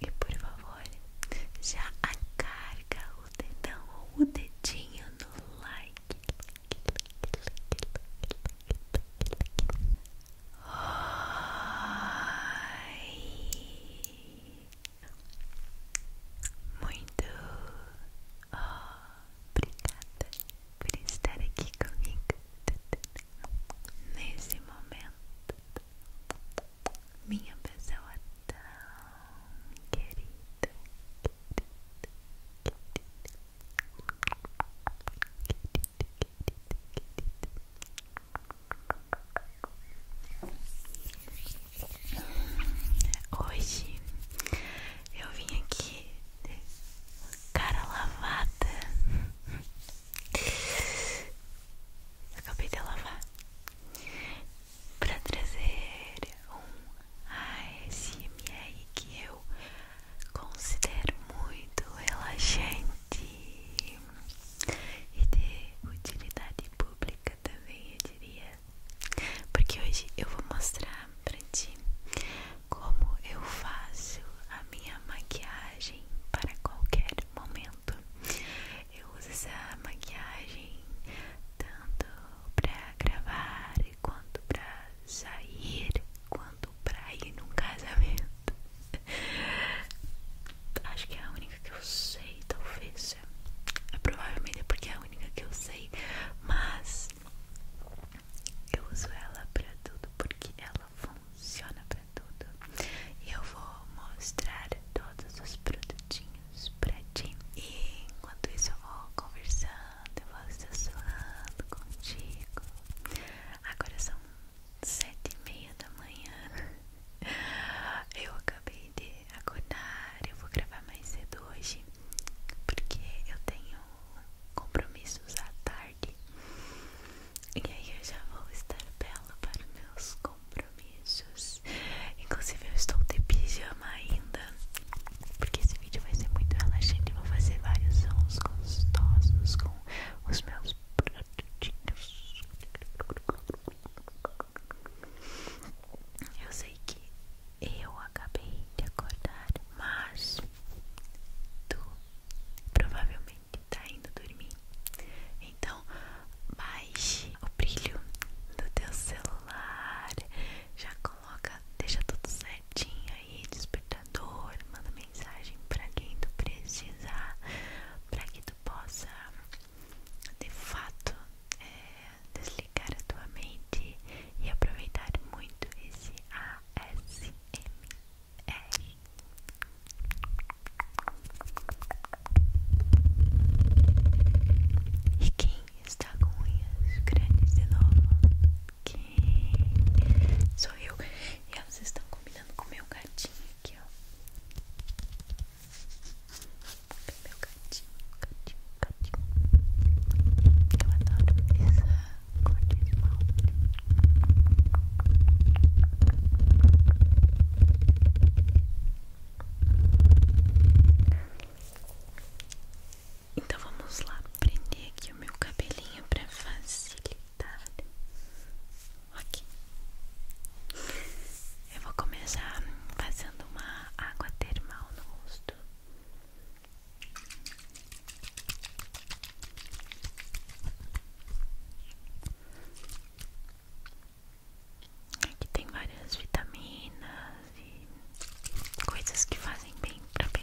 E por favor, já carga o dedão o dedinho no like. Oi. Muito obrigada por estar aqui comigo nesse momento minha pessoa tão querida, querida, querida, querida, querida. Hoje eu vim aqui cara lavada acabei de lavar para trazer um ASMR que eu considero muito relaxante e de utilidade pública também, eu diria, porque hoje eu vou mostrar para ti como eu faço a minha maquiagem para qualquer momento. Eu uso essa maquiagem tanto pra gravar, quanto pra sair, quanto pra ir num casamento. Acho que é a única que eu sei, talvez. É provavelmente é porque é a única que eu sei, mas eu uso ela pra tudo porque ela funciona funciona para tudo. E eu vou mostrar todos os produtinhos pra ti. E enquanto isso eu vou conversando, eu vou assessorando contigo. Agora são sete e meia da manhã. Eu acabei de acordar, eu vou gravar mais cedo hoje, porque eu tenho compromissos à tarde. E aí eu já vou estar bela para meus compromissos. Inclusive eu estou de pijama ainda. Porque esse vídeo vai ser muito relaxante. Vou fazer vários sons gostosos com os meus produtinhos. Eu sei que eu acabei de acordar, mas tu provavelmente provavelmente tá indo dormir. Então, baixe o brilho do teu celular, já coloca, deixa tudo certinho aí, despertador, manda mensagem para quem tu precisar, para que tu possa de fato é, desligar a tua mente e aproveitar muito esse ASMR. E quem está com unhas grandes de novo? Quem? Sou eu. E elas estão combinando com o meu gatinho aqui, ó. Meu gatinho, gatinho, gatinho. Eu adoro essa cor de esmalte. Então vamos lá prender aqui o meu cabelinho para facilitar. Ok. Eu vou começar fazendo uma água termal no rosto. Aqui tem várias vitaminas e coisas que fazem bem pra pele.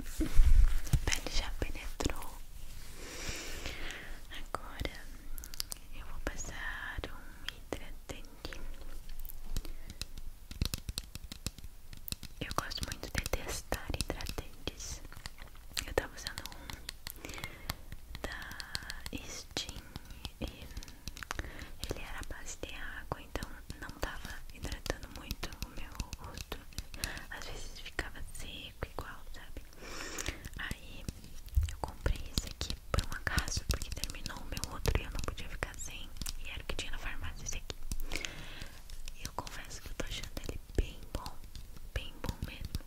A pele já penetrou. Agora eu vou passar um hidratante. Eu gosto muito de testar hidratantes. Eu tava usando um da Steam ele era a base de água, então não tava hidratando muito o meu rosto. Às vezes ficava seco igual, sabe? Aí eu comprei esse aqui por um acaso, porque terminou o meu outro e eu não podia ficar sem. E era o que tinha na farmácia esse aqui. E eu confesso que eu tô achando ele bem bom, bem bom mesmo.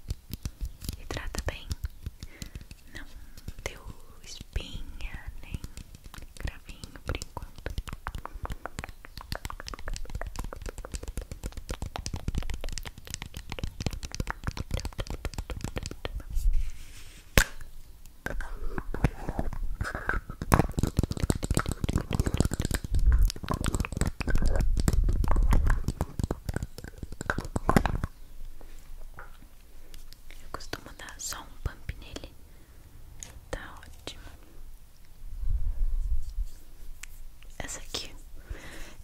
E trata bem. Não deu espinha nem gravinho por enquanto. Eu costumo dar só um pump nele. Tá ótimo. Essa aqui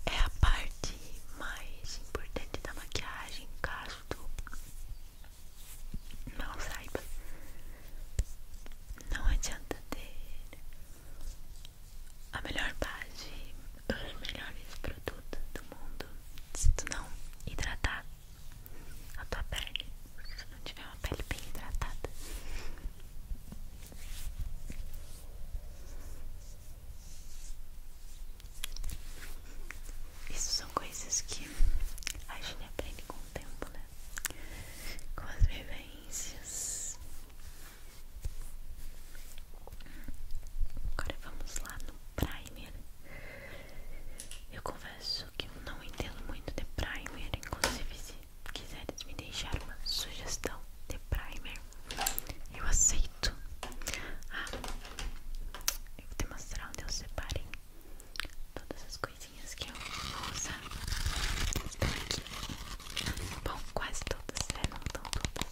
é a parte mais importante da maquiagem, caso tu não saiba. Não adianta ter a melhor base, os melhores produtos do mundo se tu não hidratar a tua pele, se tu não tiver uma pele bem hidratada. Isso são coisas que a gente aprende com o tempo, né? Com as vivências. Agora vamos lá no primer. Eu confesso que eu não entendo muito de primer, inclusive se quiseres me deixar uma sugestão de primer, eu aceito. Ah, eu vou te mostrar onde eu separei todas as coisinhas que eu vou usar. aqui. Bom, quase todas, né? Não estão todas.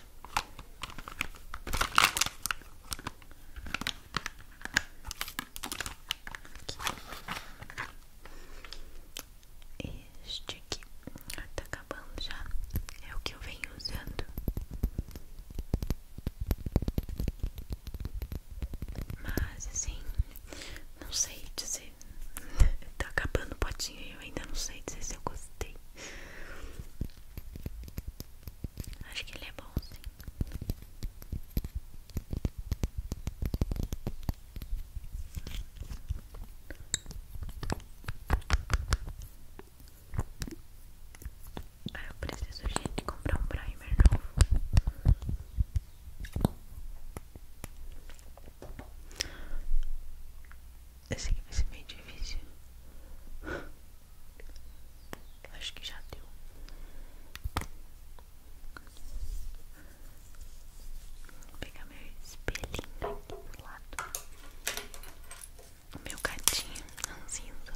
Este aqui tá acabando já. É o que eu venho usando. Mas assim, não sei dizer. tá acabando o potinho e eu ainda não sei dizer se eu gostei. Acho que ele é bom sim. Ah, eu preciso, gente, comprar um primer novo esse sei que vai ser meio difícil. Acho que já deu. Vou pegar meu espelhinho aqui do lado. O meu gatinho ranzinza.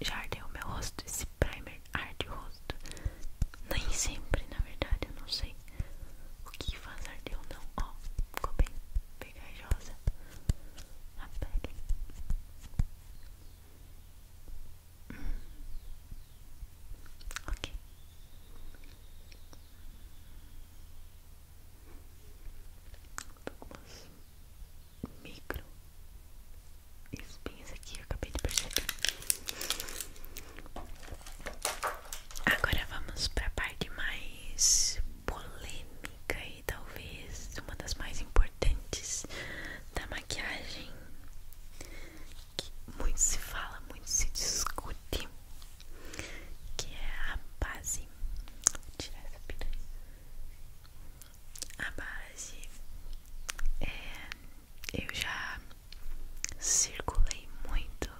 Já ardeu meu rosto. Esse primer arde o rosto. Nem sempre, na verdade, eu não sei o que faz arder ou não. Ó, ficou bem pegajosa a pele. Hum. Ok. Algumas micro espinhas aqui, eu acabei de perceber. Agora vamos para a parte mais polêmica e talvez uma das mais importantes da maquiagem, que muito se fala, muito se discute, que é a base. Vou tirar essa piranha. A base é, eu já circulei muito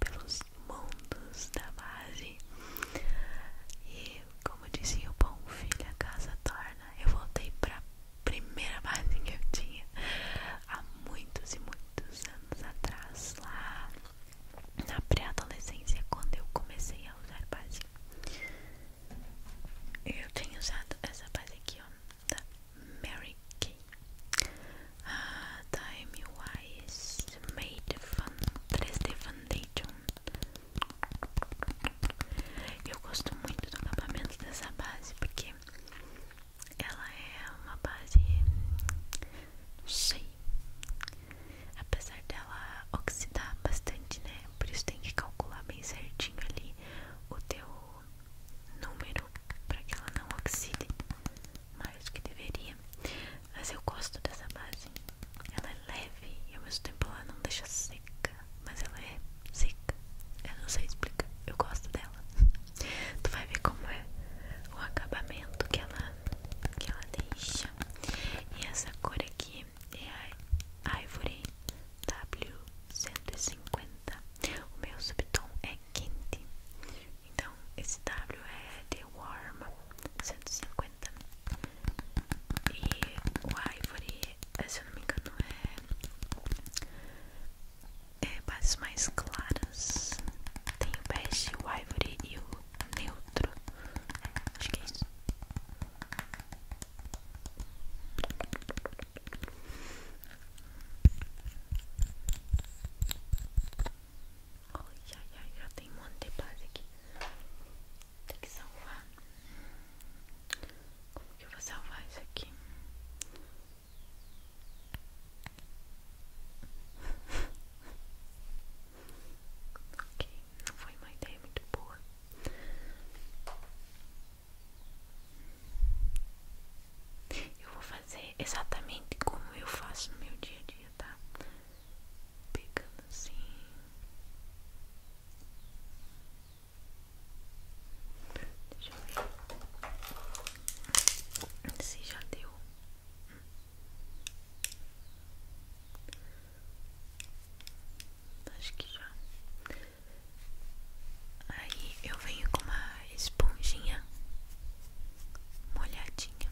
pelos mundos da base. E como dizia o bom filho, a casa torna. Eu voltei pra primeira base que eu tinha há muitos e muitos anos atrás, lá na pré-adolescência, quando eu comecei a usar base. Eu tenho usado essa base aqui, ó, da Mary Kay. Uh, Time Wise Made Fun 3D Foundation. Eu gosto muito do acabamento dessa base porque ela é uma base. Não sei. Apesar dela oxidar bastante, né? Por isso tem que calcular bem certinho ali o teu número para que ela não oxide mais do que deveria. Mas eu gosto dessa base. Ela é leve e ao mesmo tempo ela não deixa seca. Mas ela é seca. Eu não sei explicar. Eu gosto dela. Tu vai ver como é o acabamento que ela, que ela deixa. E essa cor aqui é a Ivory W150. O meu subtão é quente. Então, esse W é The Warm cento E cinquenta e o Ivory, é, se eu não me engano, é, é bases mais claras. Tem o Best, o Ivory e o Neutro. acho que é isso. Ai, já tem um monte de base aqui. Tem que salvar. Como que eu vou salvar isso aqui? ok, não foi uma ideia muito boa. Eu vou fazer exatamente como eu faço no meu dia a dia tá? Pegando assim. Deixa eu ver se já deu. Acho que já. Aí eu venho com uma esponjinha molhadinha.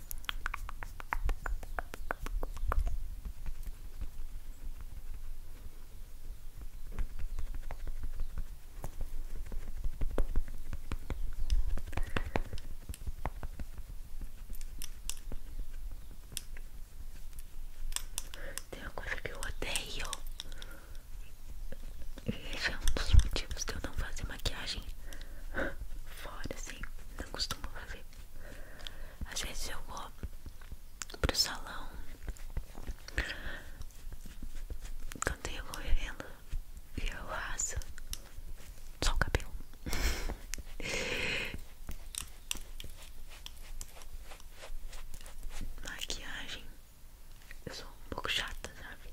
Tem uma coisa que eu odeio. E esse é um dos motivos que eu não faço maquiagem fora, assim, não costumo fazer. Às vezes eu vou pro salão quando tem algum evento e eu faço só o cabelo. Maquiagem, eu sou um pouco chata, sabe?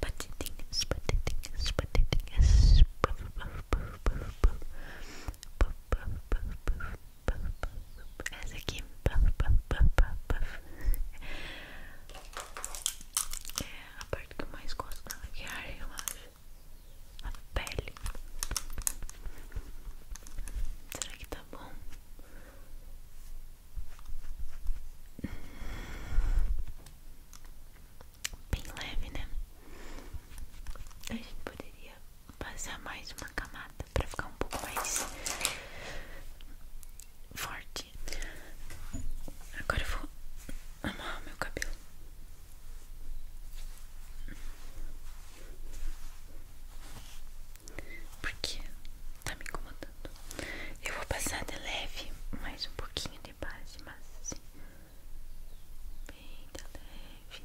Patitinhas, patitinhas, patitinhas. Puff, puff, puff, puff, puff. Puff, puff, puff, puff, puff, puff. Essa aqui. Puff, puff, puff, puff, puff. É a parte que eu mais gosto da maquiagem, eu acho a pele. Será que tá bom? Bem leve, né? A gente poderia passar mais uma camada pra ficar um pouco mais forte. Agora eu vou amarrar meu cabelo. Porque tá me incomodando. Eu vou passar de leve mais um pouquinho de base, mas assim, bem de leve.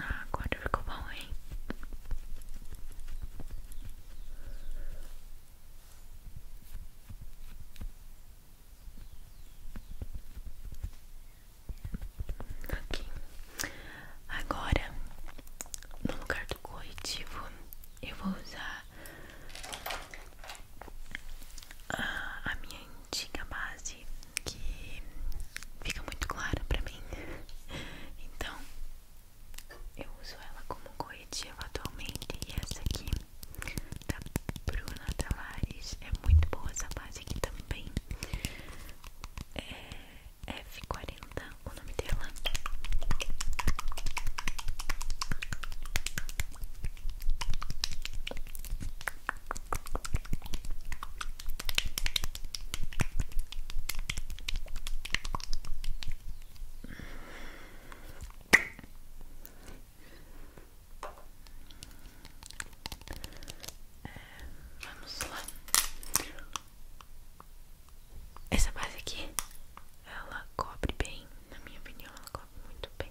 Ah, quando ficou bom, hein? Ok, agora no lugar do corretivo eu vou usar a, a minha antiga base que fica muito clara pra mim, então eu uso ela como corretivo atualmente e essa aqui da tá, Bruna Tavares. É muito boa essa base aqui também. É f quarenta o nome dela vamos lá. Essa base aqui, ela cobre bem, na minha opinião, ela cobre muito bem.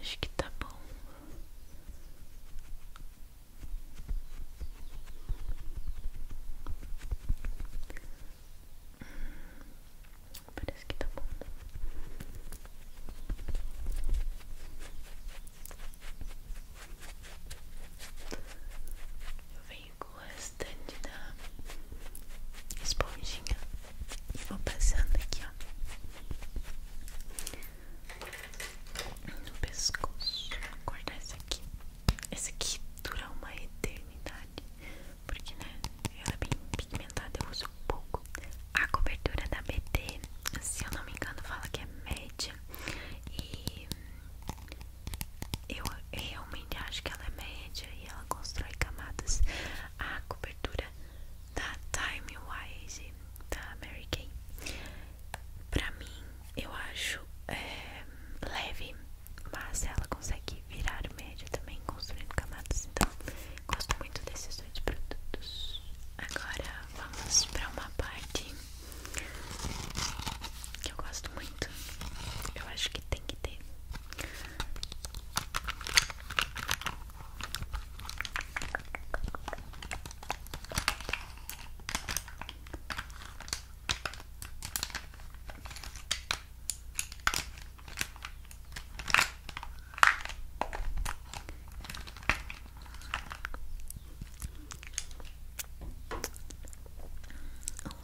Acho que tá bom. Parece que tá bom. Eu venho com o restante da esponjinha e vou passando aqui, ó, no pescoço. Acordar esse aqui. Esse aqui dura uma eternidade porque né, ela é bem pigmentada, eu uso pouco. A cobertura da BT, se eu não me engano, fala que é média e eu realmente acho que ela é média e ela constrói camadas. A cobertura da Time Wise da Mary Kay, pra mim, eu acho eh, leve mas ela consegue virar o médio também construindo camadas, então gosto muito desses dois produtos. Agora vamos para uma parte que eu gosto muito, eu acho que tem que ter. Um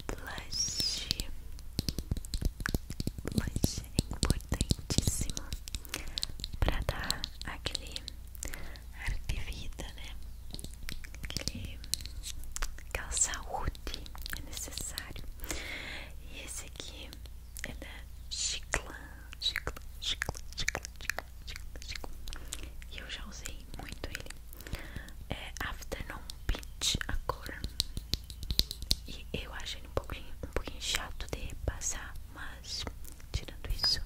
blush, blush é importantíssimo para dar aquele ar de vida, né? Aquele, aquela saúde é necessário. E esse aqui é da Chicla, Chicla, Chicla, Chicla, Chicla, Chicla. E eu já usei muito ele. É Afternoon Peach a cor. E eu acho ele um pouquinho, um pouquinho chato de passar, mas tirando isso.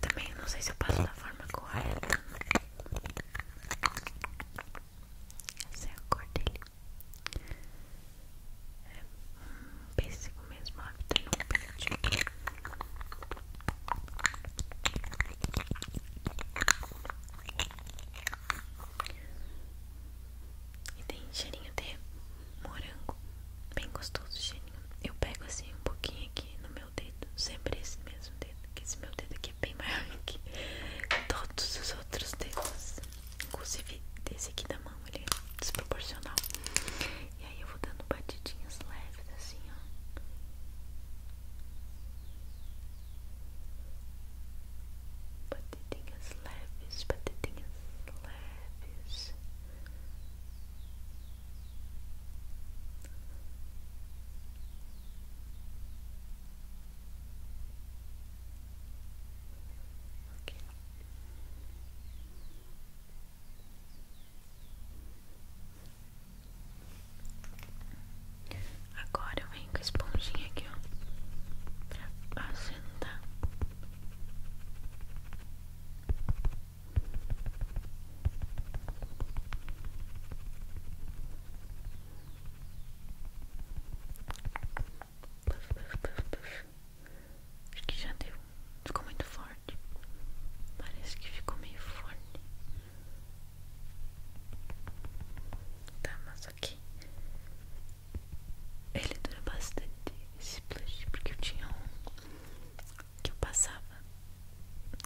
também não sei se eu passo da forma correta. Essa é a cor dele. É um pêssego mesmo, hábito tá E tem cheirinho de morango, bem gostoso cheirinho. Eu pego assim um pouquinho aqui no meu dedo, sempre esse mesmo dedo, que esse meu dedo aqui é bem maior que todos os outros dedos, inclusive desse aqui da mão, ele é desproporcional. E aí eu vou dando batidinhas leves assim, ó. Batidinhas leves, batidinhas leves. Agora eu venho com a esponjinha aqui, ó, pra assentar. Acho que já deu. Ficou muito forte. Parece que ficou meio forte. Tá, mas ok Ele dura bastante esse plush. Porque eu tinha um que eu passava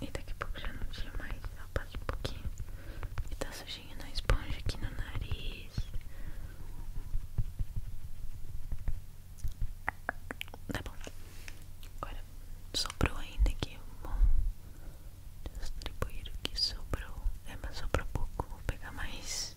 e daqui a pouco já não tinha mais. passa um pouquinho. E tá sujinho na esponja aqui no nariz. Tá bom. Agora sobrou ainda aqui. Vou distribuir o que sobrou. É, mas sobrou pouco. Vou pegar mais.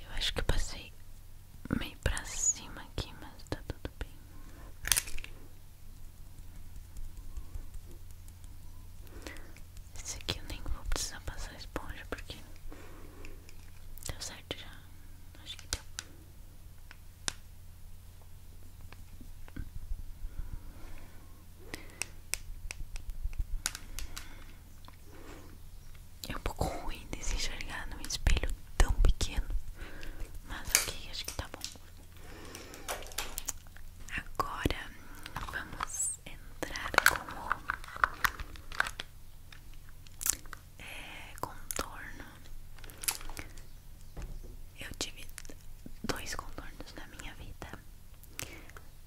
Eu acho que passei meio pra cima aqui, mas tá tudo bem. Esse aqui eu nem vou precisar passar esponja porque porque deu certo já. Acho que deu. É um pouco ruim de se enxergar num espelho tão pequeno, mas ok, acho que tá bom. Agora vamos entrar com o é, contorno. Eu tive dois contornos na minha vida.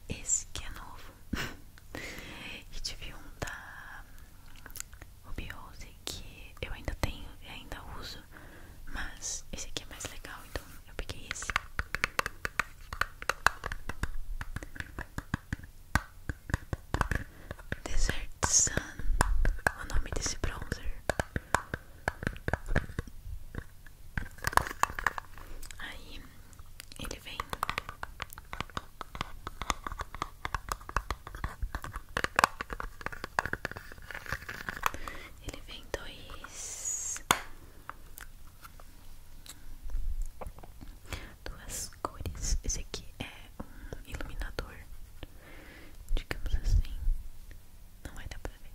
Esse que é novo. e tive um da Ruby Rose que eu ainda tenho e ainda uso. Mas esse aqui é mais legal, então eu peguei esse. Desert Sun, o nome desse bronzer. Aí ele vem ele vem dois duas cores. Esse aqui é um iluminador, digamos assim. Não vai dar pra ver.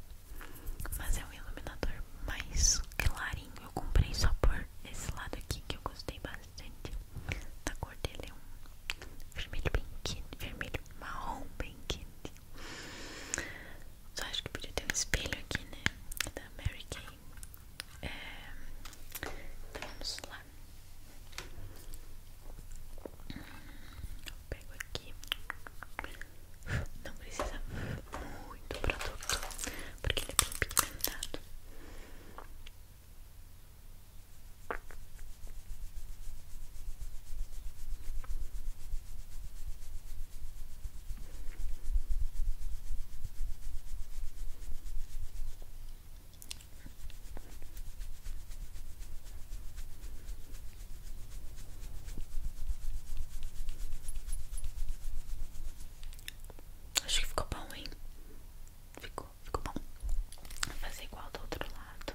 Mas é um iluminador mais clarinho. Eu comprei só por esse lado aqui que eu gostei bastante. Da cor dele é um vermelho bem quente, vermelho marrom bem quente. Só acho que podia ter um espelho aqui, né? Da Mary Kay. É, vamos lá. pego aqui. Não precisa muito produto, porque ele é bem pigmentado. Acho que ficou bom, hein? Ficou, ficou bom. fazer igual do outro lado.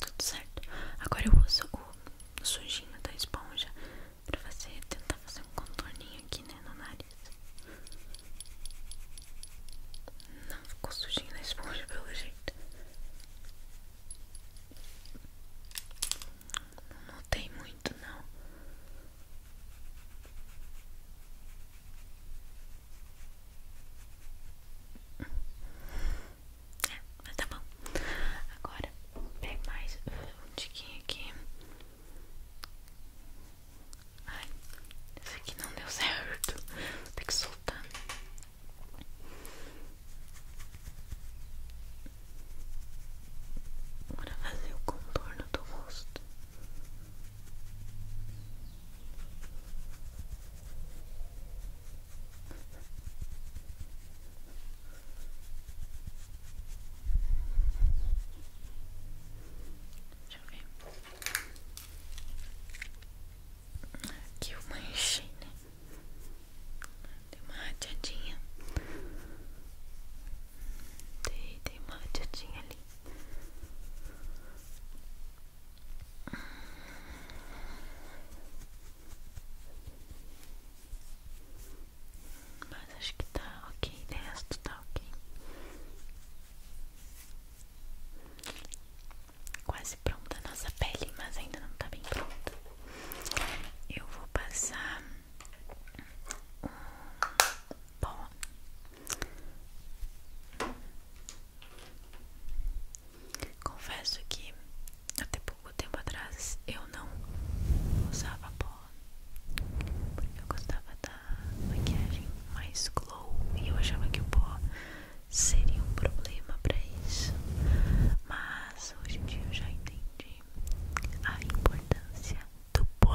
Tudo certo. Agora eu uso o sujinho da esponja pra você tentar fazer um contorninho aqui, né, no nariz. Não ficou sujinho na esponja pelo jeito. Não notei muito, não. É, ah, mas tá bom. Agora, pega mais um tiquinho aqui. Ai, esse aqui não deu certo. tem que soltar. Agora fazer o contorno do rosto. Deixa eu ver. Aqui uma enchei, né? Dei uma rateadinha. Dei, dei uma rateadinha ali. Mas acho que tá ok, o resto tá ok. Quase pronta a nossa pele, mas ainda não tá bem pronta. Eu vou passar um pó Confesso que até pouco tempo atrás eu não usava pó, porque eu gostava da maquiagem mais glow e eu achava que o pó seria um problema para isso. Mas hoje em dia eu já entendi a importância do do pó.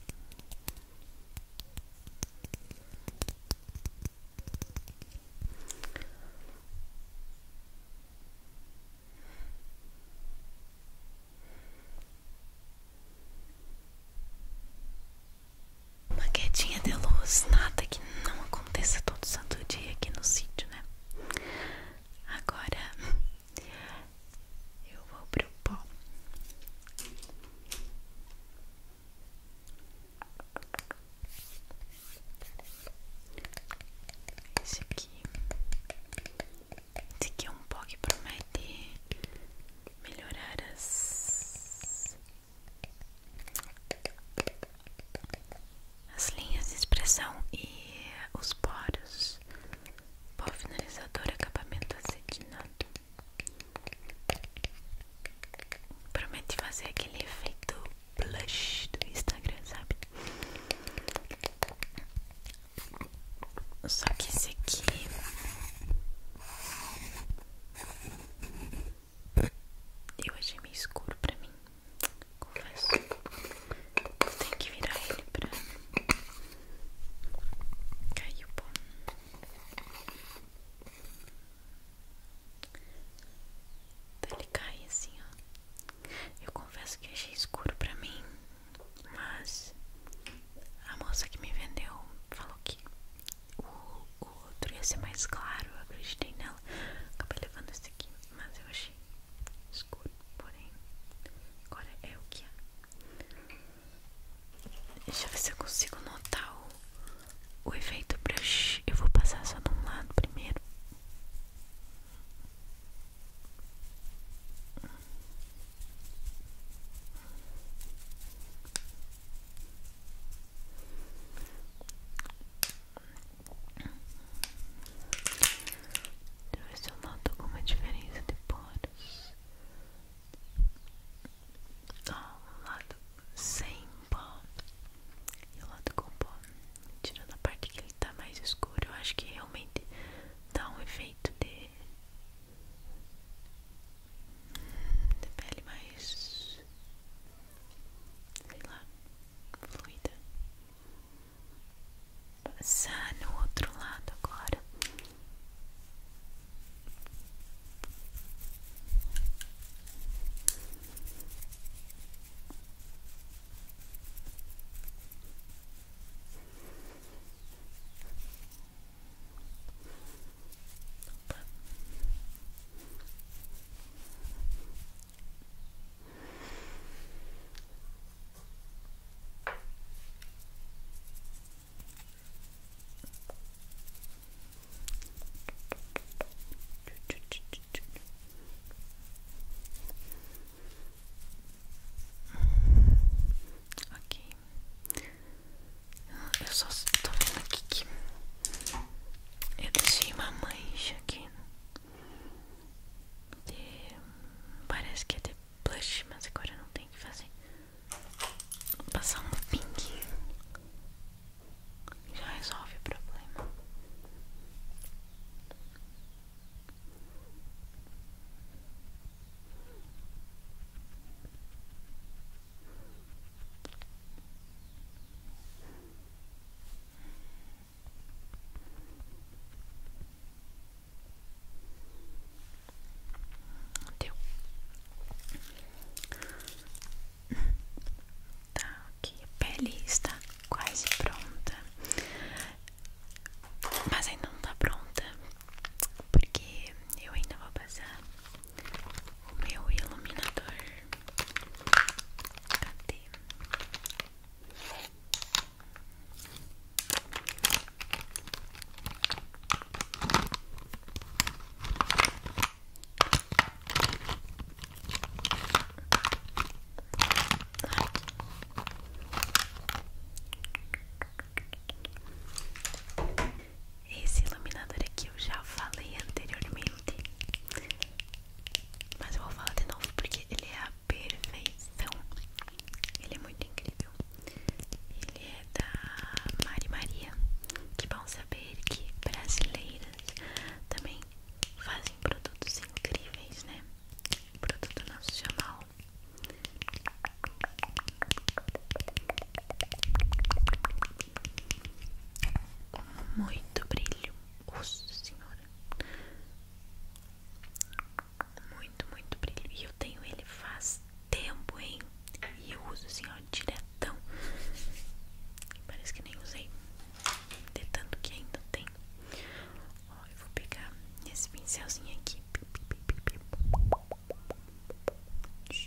Uma quedinha de luz, nada que não aconteça todo santo dia aqui no sítio, né? Agora eu vou pro pó. Esse aqui. Esse aqui é um pó que promete melhorar as as linhas de expressão e os poros Pó finalizador acabamento acetinado. promete fazer aquele efeito blush do Instagram, sabe? Só que esse aqui eu achei meio escuro pra mim, confesso. Tem que virar ele pra Caiu pó. Então, ele cai assim, ó. Eu confesso que achei escuro pra mim, mas a moça que me vendeu falou que o, o outro ia ser mais claro. Eu acreditei nela. Acabei levando esse aqui, mas eu achei escuro. Porém, agora é o que é. Deixa eu ver se eu consigo notar o, efeito brush. Eu vou passar só de um lado primeiro. Deixa eu ver se eu noto alguma diferença de poros. Ó, um lado sem pó e o lado com pó. Tirando a parte que ele tá mais escuro, eu acho que realmente dá um efeito de, de pele mais. sei lá, fluida passar no outro lado agora. Ok, ah, eu só tô vendo aqui que eu deixei uma mancha aqui. De... Hum, parece que é de blush, mas agora não tem o que fazer passar um pinguinho já resolve o problema. Deu. Tá, ok. A pele está quase pronta. Mas ainda não tá pronta. Porque eu ainda vou passar o meu iluminador. Cadê? Esse iluminador aqui eu já falei anteriormente, mas eu vou falar de novo porque ele é a perfeição. Ele é muito incrível. Ele é da Mari Maria. Que bom saber que brasileiras também fazem produtos incríveis, né? Produto nacional. Muito brilho. Nossa senhora. Muito, muito brilho. E eu tenho ele faz tempo, hein? E eu uso assim, ó, diretão. Parece que nem usei. De tanto que ainda tem. Ó, eu vou pegar esse pincelzinho aqui. Deixa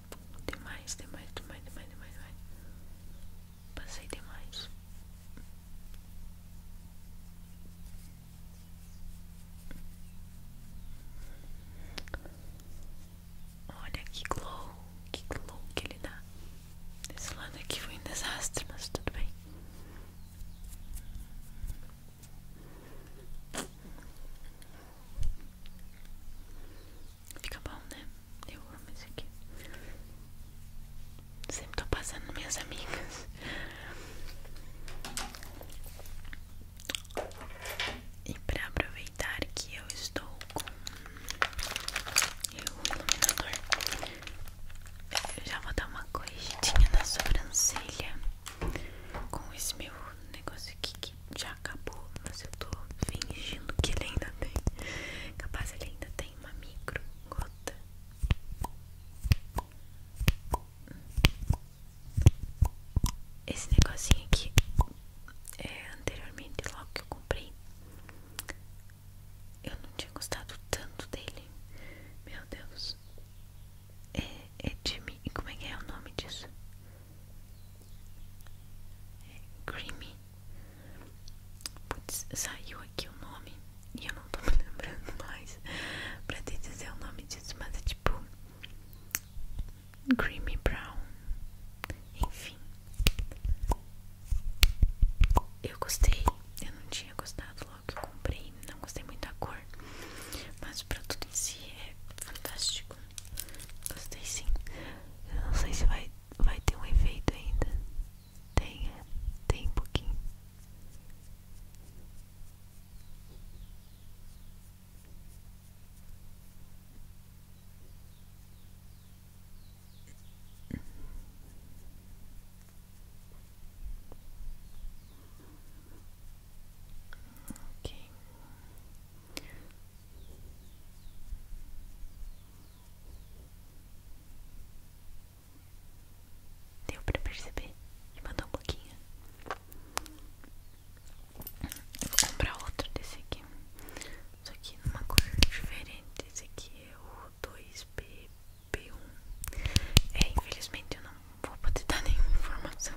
Demais, demais, demais, demais, demais, demais. Passei demais. Olha que glow, que glow que ele dá. Esse lado aqui foi um desastre, mas tudo bem. Fica bom, né? Eu amo esse aqui. Sempre tô passando minhas amigas. E pra aproveitar que eu estou com eu, o iluminador, eu já vou dar uma corrigidinha na sobrancelha com esse meu negócio aqui já acabou, mas eu tô fingindo que ele ainda tem. Capaz ele ainda tem uma micro gota. Esse negocinho aqui é anteriormente logo que eu comprei. Eu não tinha gostado tanto dele. Meu Deus. É, é Jimmy. como é que é o nome disso? Creamy. Putz, saiu aqui o nome e eu não tô me lembrando mais pra te dizer o nome disso, mas é tipo Creamy Brown. Enfim, eu gostei. Eu não tinha gostado logo que comprei, não gostei muito da cor, mas o produto em si é fantástico. Gostei sim. não sei se vai, vai ter um efeito ainda. Tem, é. Tem um pouquinho. Ok. Deu pra perceber? E mandou um pouquinho. vou comprar outro desse aqui. Só que numa cor diferente. Esse aqui é o 2BB1. É, infelizmente eu não vou poder dar nenhuma informação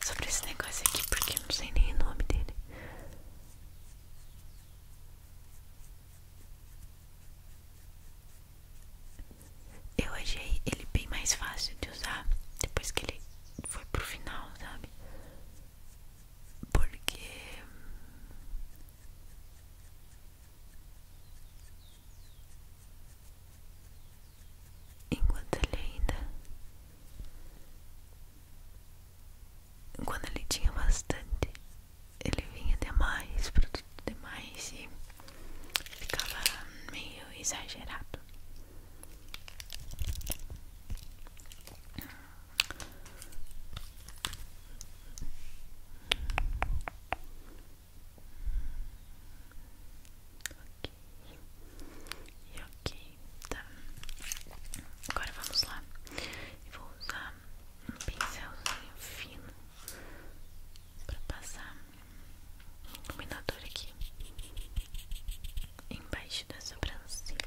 sobre esse negócio aqui porque eu não sei nem o nome dele. Eu achei ele bem mais fácil de usar depois que ele foi pro final, sabe? Porque enquanto ele ainda quando ele tinha bastante, ele vinha demais, produto demais e ficava meio exagerado. E ok, tá. Agora vamos lá. vou usar um pincelzinho fino para passar um iluminador aqui embaixo da sobrancelha.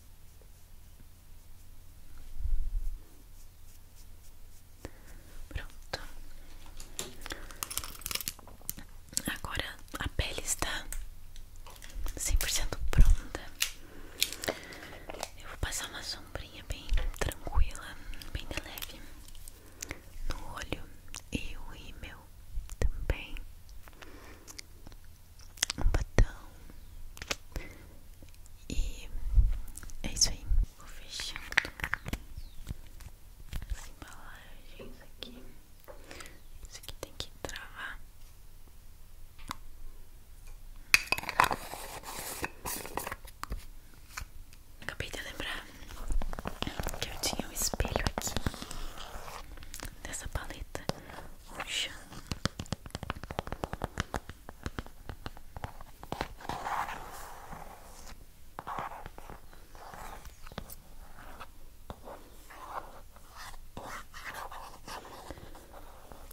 Pronto. Agora a pele está 100% pronta. Eu vou passar uma sombrinha bem tranquila, bem leve no olho e o meu também um botão e é isso aí. Vou fechando as embalagens aqui. Isso aqui tem que travar. Acabei de lembrar que eu tinha um espelho aqui dessa paleta Ocean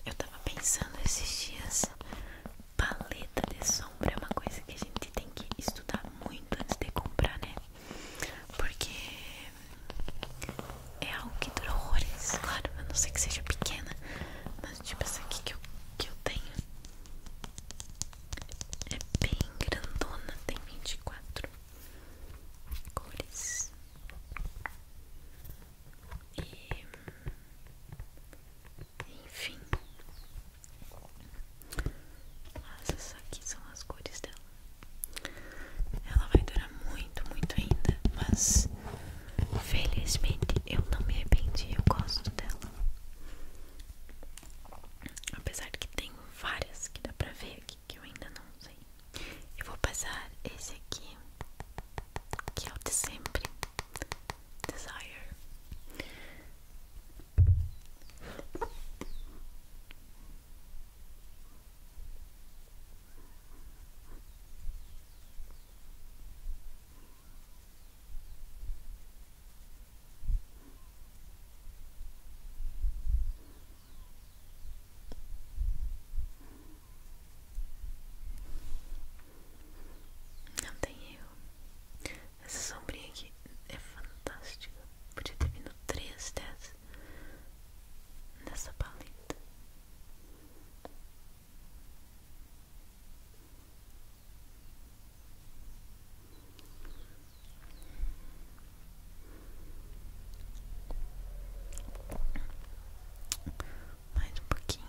eu tava pensando esses dias, paleta de sombra é uma coisa que a gente tem que estudar muito antes de comprar, né? Porque é algo que dura horrores. Claro, a não sei que seja pequena. Mas tipo essa aqui que eu, que eu tenho é bem grandona, tem 24 cores. E enfim. essas aqui são as cores dela. Ela vai durar muito muito, muito ainda, mas felizmente eu não me arrependi, eu gosto dela. Apesar de que tem várias que dá pra ver aqui que eu ainda não usei. Eu vou passar esse aqui, que é o de sempre, Desire. Não tem eu Essa sombrinha aqui é fantástica. Podia ter vindo três dessas nessa paleta. Mais um pouquinho.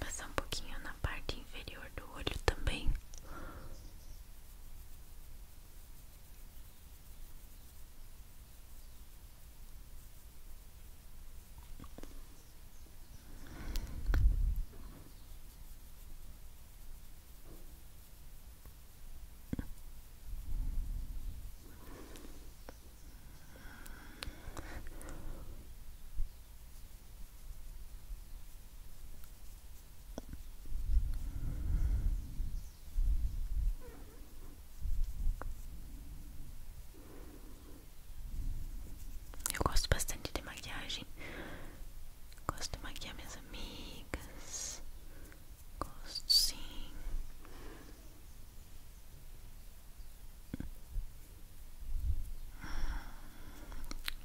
Passar um pouquinho na parte inferior do olho também. Eu gosto bastante de maquiagem. Gosto de maquiar minhas amigas. Gosto sim.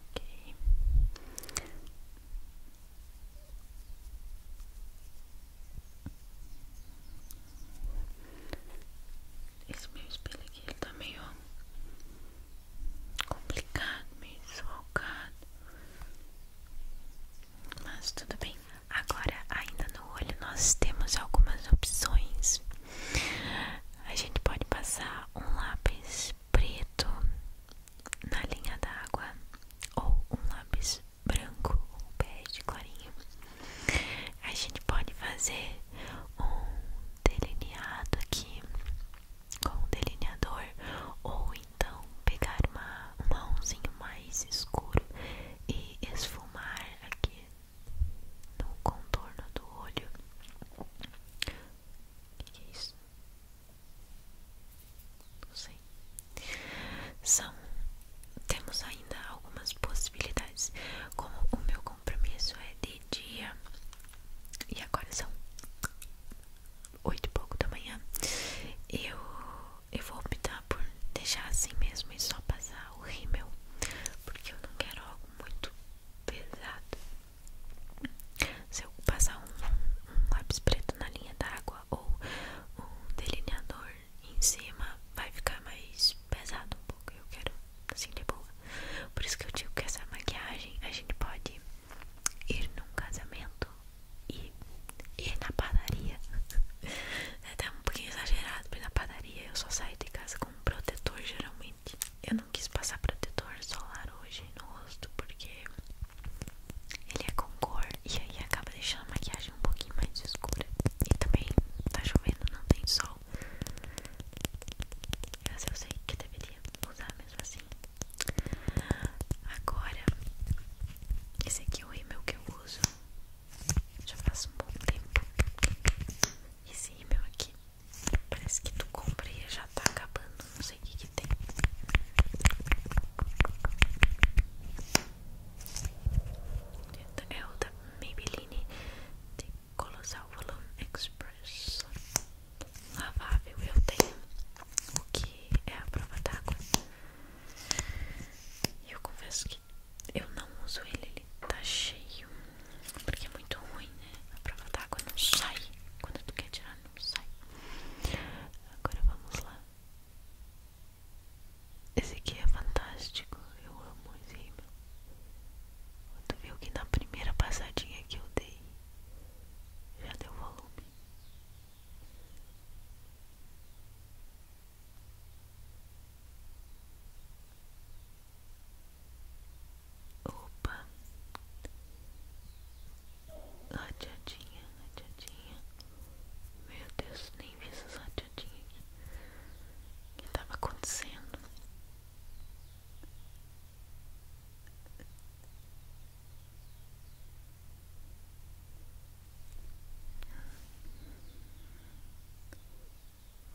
Ok. Esse meu espelho aqui ele tá meio complicado, meio desfalcado. Mas tudo bem. Agora, ainda no olho, nós temos algumas opções a gente pode passar um lápis preto na linha d'água ou um lápis branco ou bege clarinho. A gente pode fazer um delineado aqui com um delineador ou então pegar uma, um marronzinho mais escuro e esfumar aqui no contorno do olho. O que, é isso? Não sei. São. Temos ainda algumas possibilidades. Como o meu compromisso é de dia. E agora são oito e pouco da manhã. Eu, eu vou optar por deixar assim mesmo e só passar o rímel. Porque eu não quero algo muito pesado. Se eu passar um, lápis preto na linha d'água ou um delineador em cima, vai ficar mais pesado um pouco. Eu quero assim de boa. Por isso que eu digo que essa maquiagem a gente pode ir num casamento e ir na padaria. É até um pouquinho exagerado, porque na padaria eu só saio de casa com um protetor geralmente. Eu não quis passar protetor solar hoje no rosto porque ele é com cor e aí acaba deixando a maquiagem um pouquinho mais escura. E também tá chovendo, não tem sol. Mas eu sei que deveria usar mesmo assim. Agora, esse aqui é o rímel que eu uso. Já faz um bom tempo. Esse rímel aqui Parece que tu comprei e já tá acabando. Não sei o que, que tem. É o da Maybelline de Colossal Volume Express. Lavável eu tenho. O que é a prova d'água. E eu confesso que eu não uso ele tá cheio Porque é muito ruim, né? A prova d'água não sai Quando tu quer tirar, não sai Agora vamos lá Esse aqui é fantástico Eu amo esse rímel Tu viu que na primeira passadinha que eu dei Já deu volume Opa, rateadinha, rateadinha. Meu Deus, nem vi essas rateadinhas aqui. O que estava acontecendo?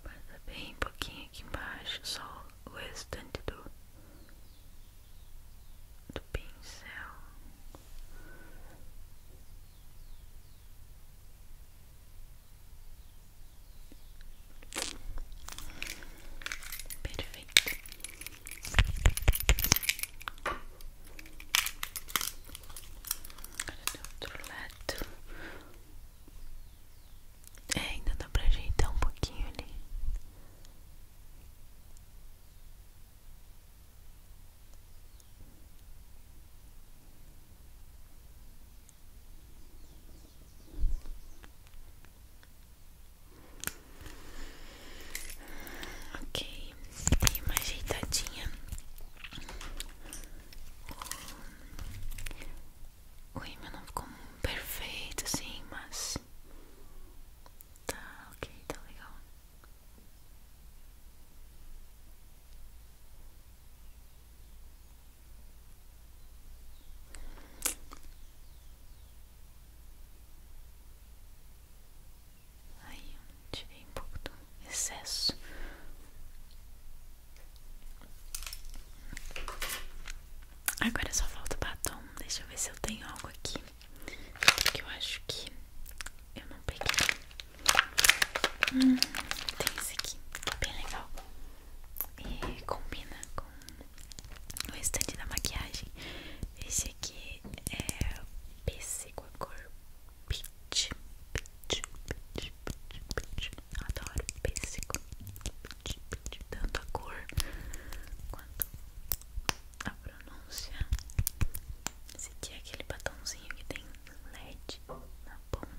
Passa bem pouquinho aqui embaixo, só o restante do, do pincel. Perfeito. Agora do outro lado. É, ainda dá pra ajeitar um pouquinho ali. Ok, tem uma ajeitadinha. O rímel não ficou perfeito assim, mas tá ok, tá legal. Aí eu tirei um pouco do excesso Agora só falta o batom. Deixa eu ver se eu tenho algo aqui. Porque eu acho que eu não peguei. Hum, tem esse aqui, bem legal. E combina com o restante da maquiagem. Esse aqui é pêssego a cor peach, peach, peach. Adoro pêssego, tanto a cor quanto a pronúncia. Esse aqui é aquele batomzinho que tem LED na ponta.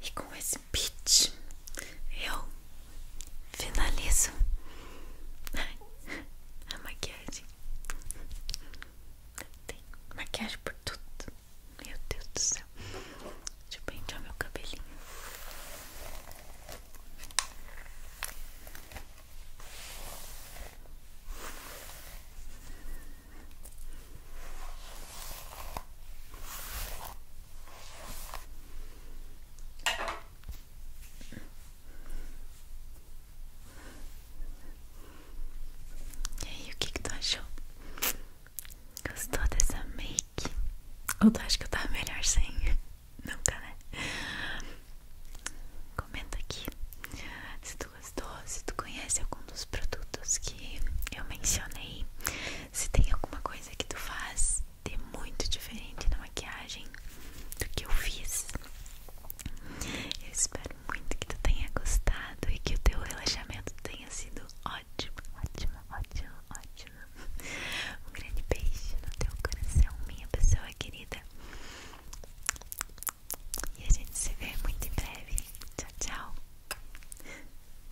E com esse beat eu finalizo a maquiagem. Tem maquiagem por tudo. Meu Deus do céu. De eu pentear meu cabelinho. E aí, o que tu achou? Gostou dessa make? Ou tu acha que eu tava melhor sem? Nunca, né? Comenta aqui se tu gostou, se tu conhece algum dos produtos que eu mencionei se tem alguma coisa que tu faz de muito diferente na maquiagem do que eu fiz, eu espero muito que tu tenha gostado e que o teu relaxamento tenha sido ótimo, ótimo, ótimo, ótimo. Um grande beijo no teu coração, minha pessoa querida. E a gente se vê muito em breve. Tchau, tchau.